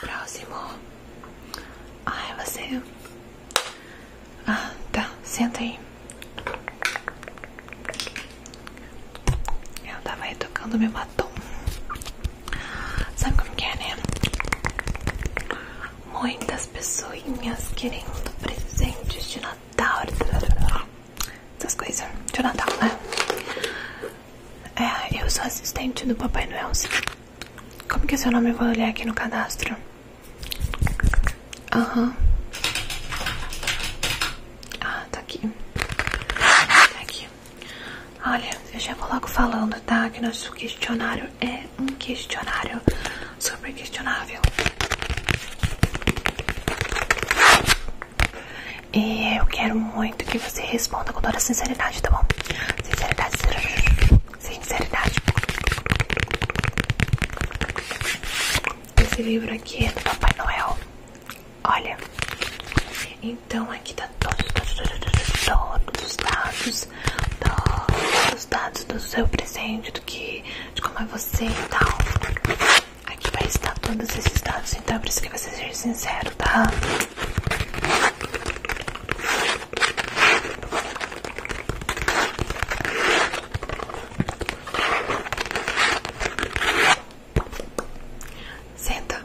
Próximo. Ai, você. Ah, tá. Senta aí. Eu tava aí tocando meu batom. Sabe como é, né? muitas pessoas querendo presentes de Natal, essas coisas de Natal, né? É, eu sou assistente do Papai Noel. Como que é seu nome? Eu vou olhar aqui no cadastro. Aham. Ah, tá aqui. Tá aqui. Olha, eu já vou falando, tá? Que nosso questionário é um questionário super questionável. E eu quero muito que você responda com toda a sinceridade, tá bom? Sinceridade, sinceridade. Esse livro aqui é do Papai Noel. Olha, em então aqui tá todos, os dados, todos os dados do seu presente, do que, de como é você e tal. Aqui vai estar todos esses dados, então é por isso que você ser sincero, tá? Senta.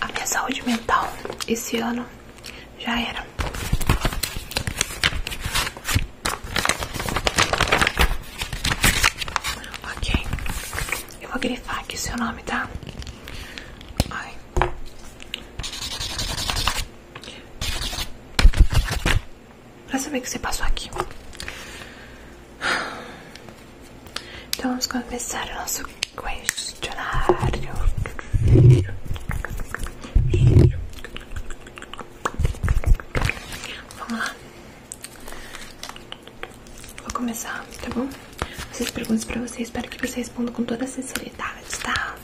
A minha saúde mental esse ano já era. Ok, eu vou grifar aqui seu nome, tá? Ai. Pra saber que você passou aqui. Então vamos começar o nosso questionário. Vamos lá. Vou começar, tá bom? As perguntas pra você, espero que você responda com toda a sinceridade, tá?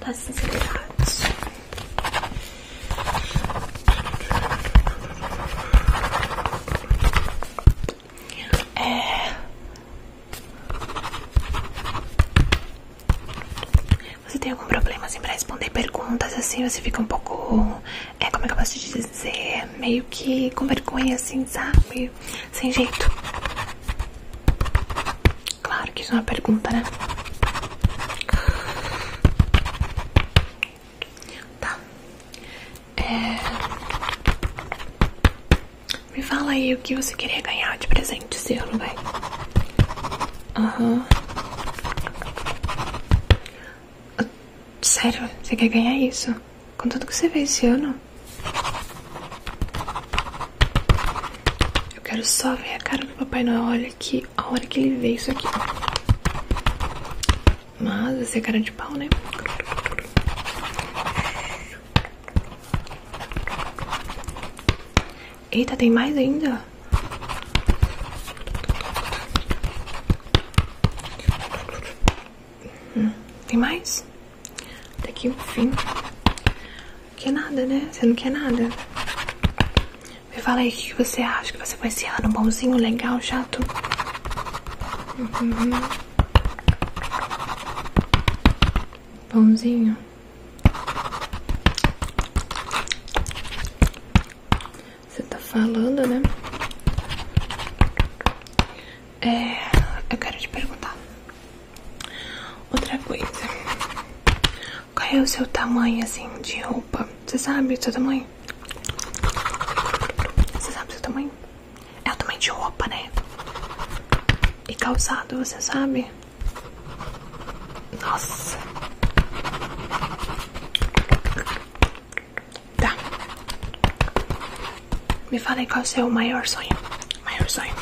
Toda a sinceridade. É. Você tem algum problema assim pra responder perguntas assim? Você fica um pouco. É, como é que eu posso te dizer? Meio que com vergonha assim, sabe? Sem jeito. Claro que isso é uma pergunta, né? Tá. É. Me fala aí o que você queria ganhar de presente seu, não vai? Aham. Sério, você quer ganhar isso? Com tudo que você fez esse ano? Eu quero só ver a cara do Papai Noel. Olha que a hora que ele vê isso aqui. Mas você é cara de pau, né? Eita, tem mais ainda. Hum, tem mais? Até aqui o fim. Quer é nada, né? Você não quer nada. Me fala aí o que você acha que você vai esse ano. Bonzinho, legal, chato. Uhum. Pãozinho. Você tá falando, né? É, eu quero te perguntar outra coisa. Qual é o seu tamanho assim de roupa? Você sabe o seu tamanho? Você sabe o seu tamanho? É também de roupa, né? E calçado, você sabe? Nossa. Tá. Me fala qual é o seu maior sonho. Maior sonho.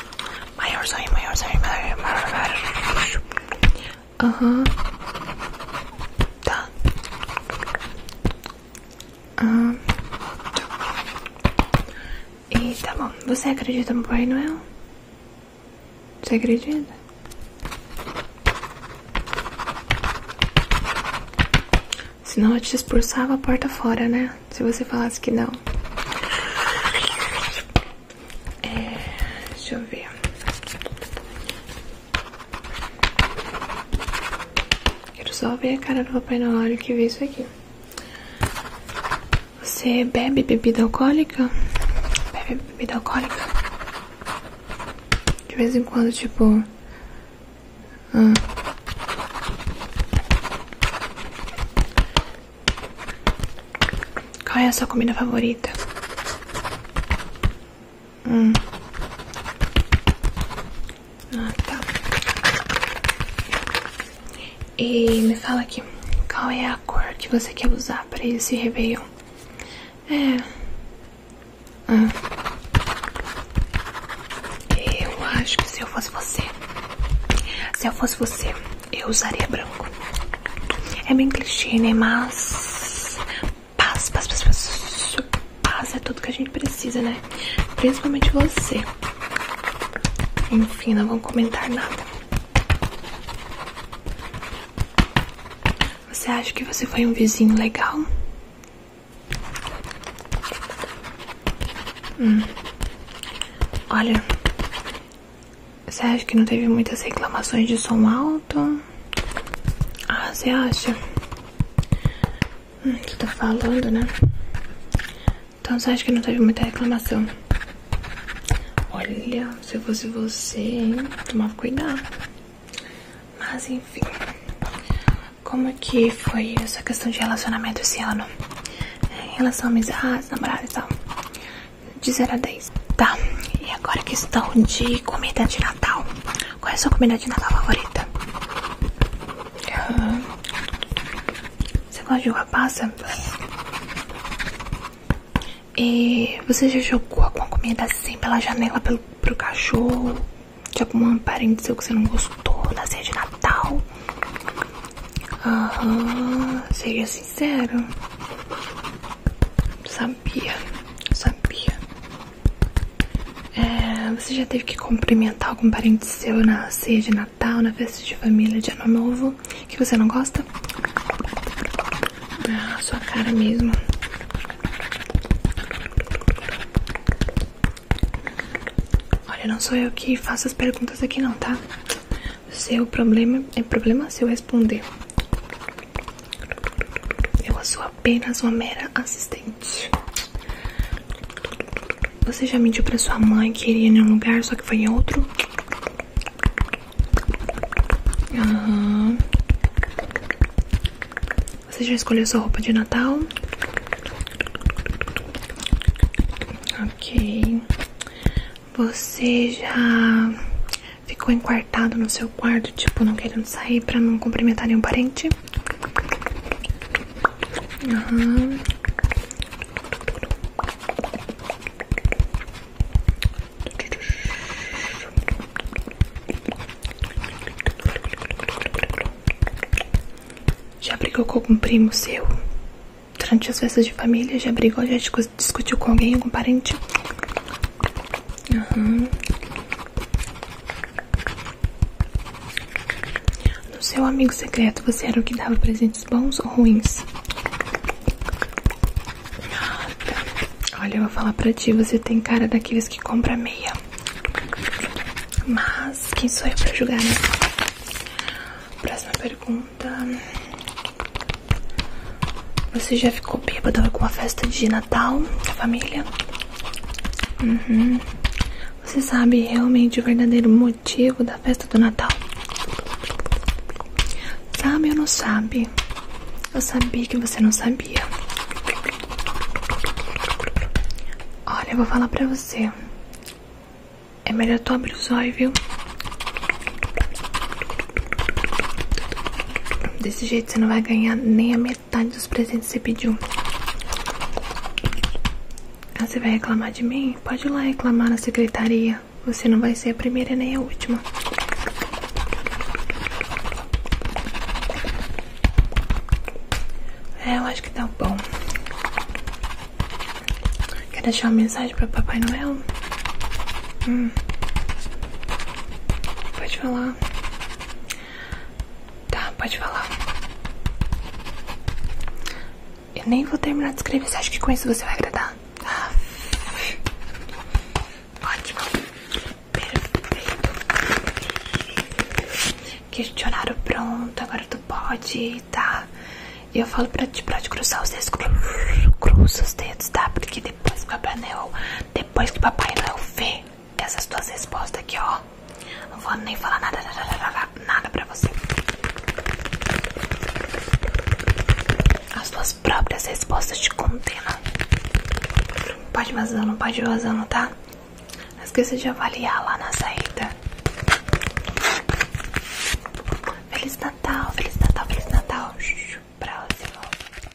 Maior sonho, maior sonho. Maior, maior, maior. Aham. Uhum. Tá. Ah. e tá bom, você acredita no Pai Noel? Você acredita? Senão eu te expulsava a porta fora, né? Se você falasse que não. É, deixa eu ver. Quero só ver a cara do papai na hora que vê isso aqui. Você bebe bebida alcoólica? Bebe bebida alcoólica? De vez em quando, tipo... Ah. Qual é a sua comida favorita? Ah, tá. E me fala aqui, qual é a cor que você quer usar para esse Réveillon? É. Ah. Eu acho que se eu fosse você. Se eu fosse você, eu usaria branco. É bem clichê, né? Mas Paz, paz, paz, paz. Paz é tudo que a gente precisa, né? Principalmente você. Enfim, não vão comentar nada. Você acha que você foi um vizinho legal? Hum. Olha, você acha que não teve muitas reclamações de som alto? Ah, você acha? que eu tô tá falando, né? Então você acha que não teve muita reclamação? Olha, se eu fosse você, hein? Tomava cuidado. Mas enfim. Como que foi essa questão de relacionamento esse ano? É, em relação a amizades, namorados e tal. De 0 a 10. Tá. E agora a questão de comida de Natal. Qual é a sua comida de Natal favorita? Uhum. Você gosta de uva passa? E você já jogou alguma comida assim pela janela pelo, pro cachorro? De algum parente seu que você não gostou na ceia de Natal? Aham, seja sincero. Sabia, sabia. É, você já teve que cumprimentar algum parente seu na ceia de Natal, na festa de família de Ano Novo, que você não gosta? Na sua cara mesmo. Olha, não sou eu que faço as perguntas aqui não, tá? Seu problema é problema seu responder. Eu sou apenas uma mera assistente. Você já mentiu pra sua mãe que iria em um lugar, só que foi em outro? Uhum. Você já escolheu sua roupa de Natal? Ok. Você já ficou enquartado no seu quarto, tipo, não querendo sair pra não cumprimentar nenhum parente? Uhum. Já brigou com algum primo seu? Durante as festas de família, já brigou, já discutiu com alguém, algum parente? Uhum. No seu amigo secreto, você era o que dava presentes bons ou ruins? Nada. Olha, eu vou falar pra ti, você tem cara daqueles que compra meia. Mas quem sou eu pra julgar, né? Próxima pergunta. Você já ficou bêbado com uma festa de Natal da família? Uhum. Você sabe realmente o verdadeiro motivo da festa do Natal? Sabe ou não sabe? Eu sabia que você não sabia. Olha, eu vou falar pra você. É melhor tu abrir os olhos, viu? Desse jeito você não vai ganhar nem a metade metade dos presentes que você pediu. Ah, você vai reclamar de mim? Pode ir lá reclamar na secretaria. Você não vai ser a primeira nem a última. É, eu acho que tá bom. Quer deixar uma mensagem pra Papai Noel? Hum. Pode falar. Tá, pode falar. Eu nem vou terminar de escrever, você acha que com isso você vai agradar? Ah. Ótimo. Perfeito. Questionário pronto, agora tu pode, tá? E eu falo pra te, pra te cruzar os dedos, cruza os dedos, tá? Porque depois que o Papai Noel, depois que o Papai Noel vê essas duas respostas aqui, ó. Não vou nem falar nada, nada, nada pra você. As tuas próprias respostas te condenam. Não pode vazando pode vazando tá? Não esqueça de avaliar lá na saída. Feliz Natal, Feliz Natal, Feliz Natal. Próximo.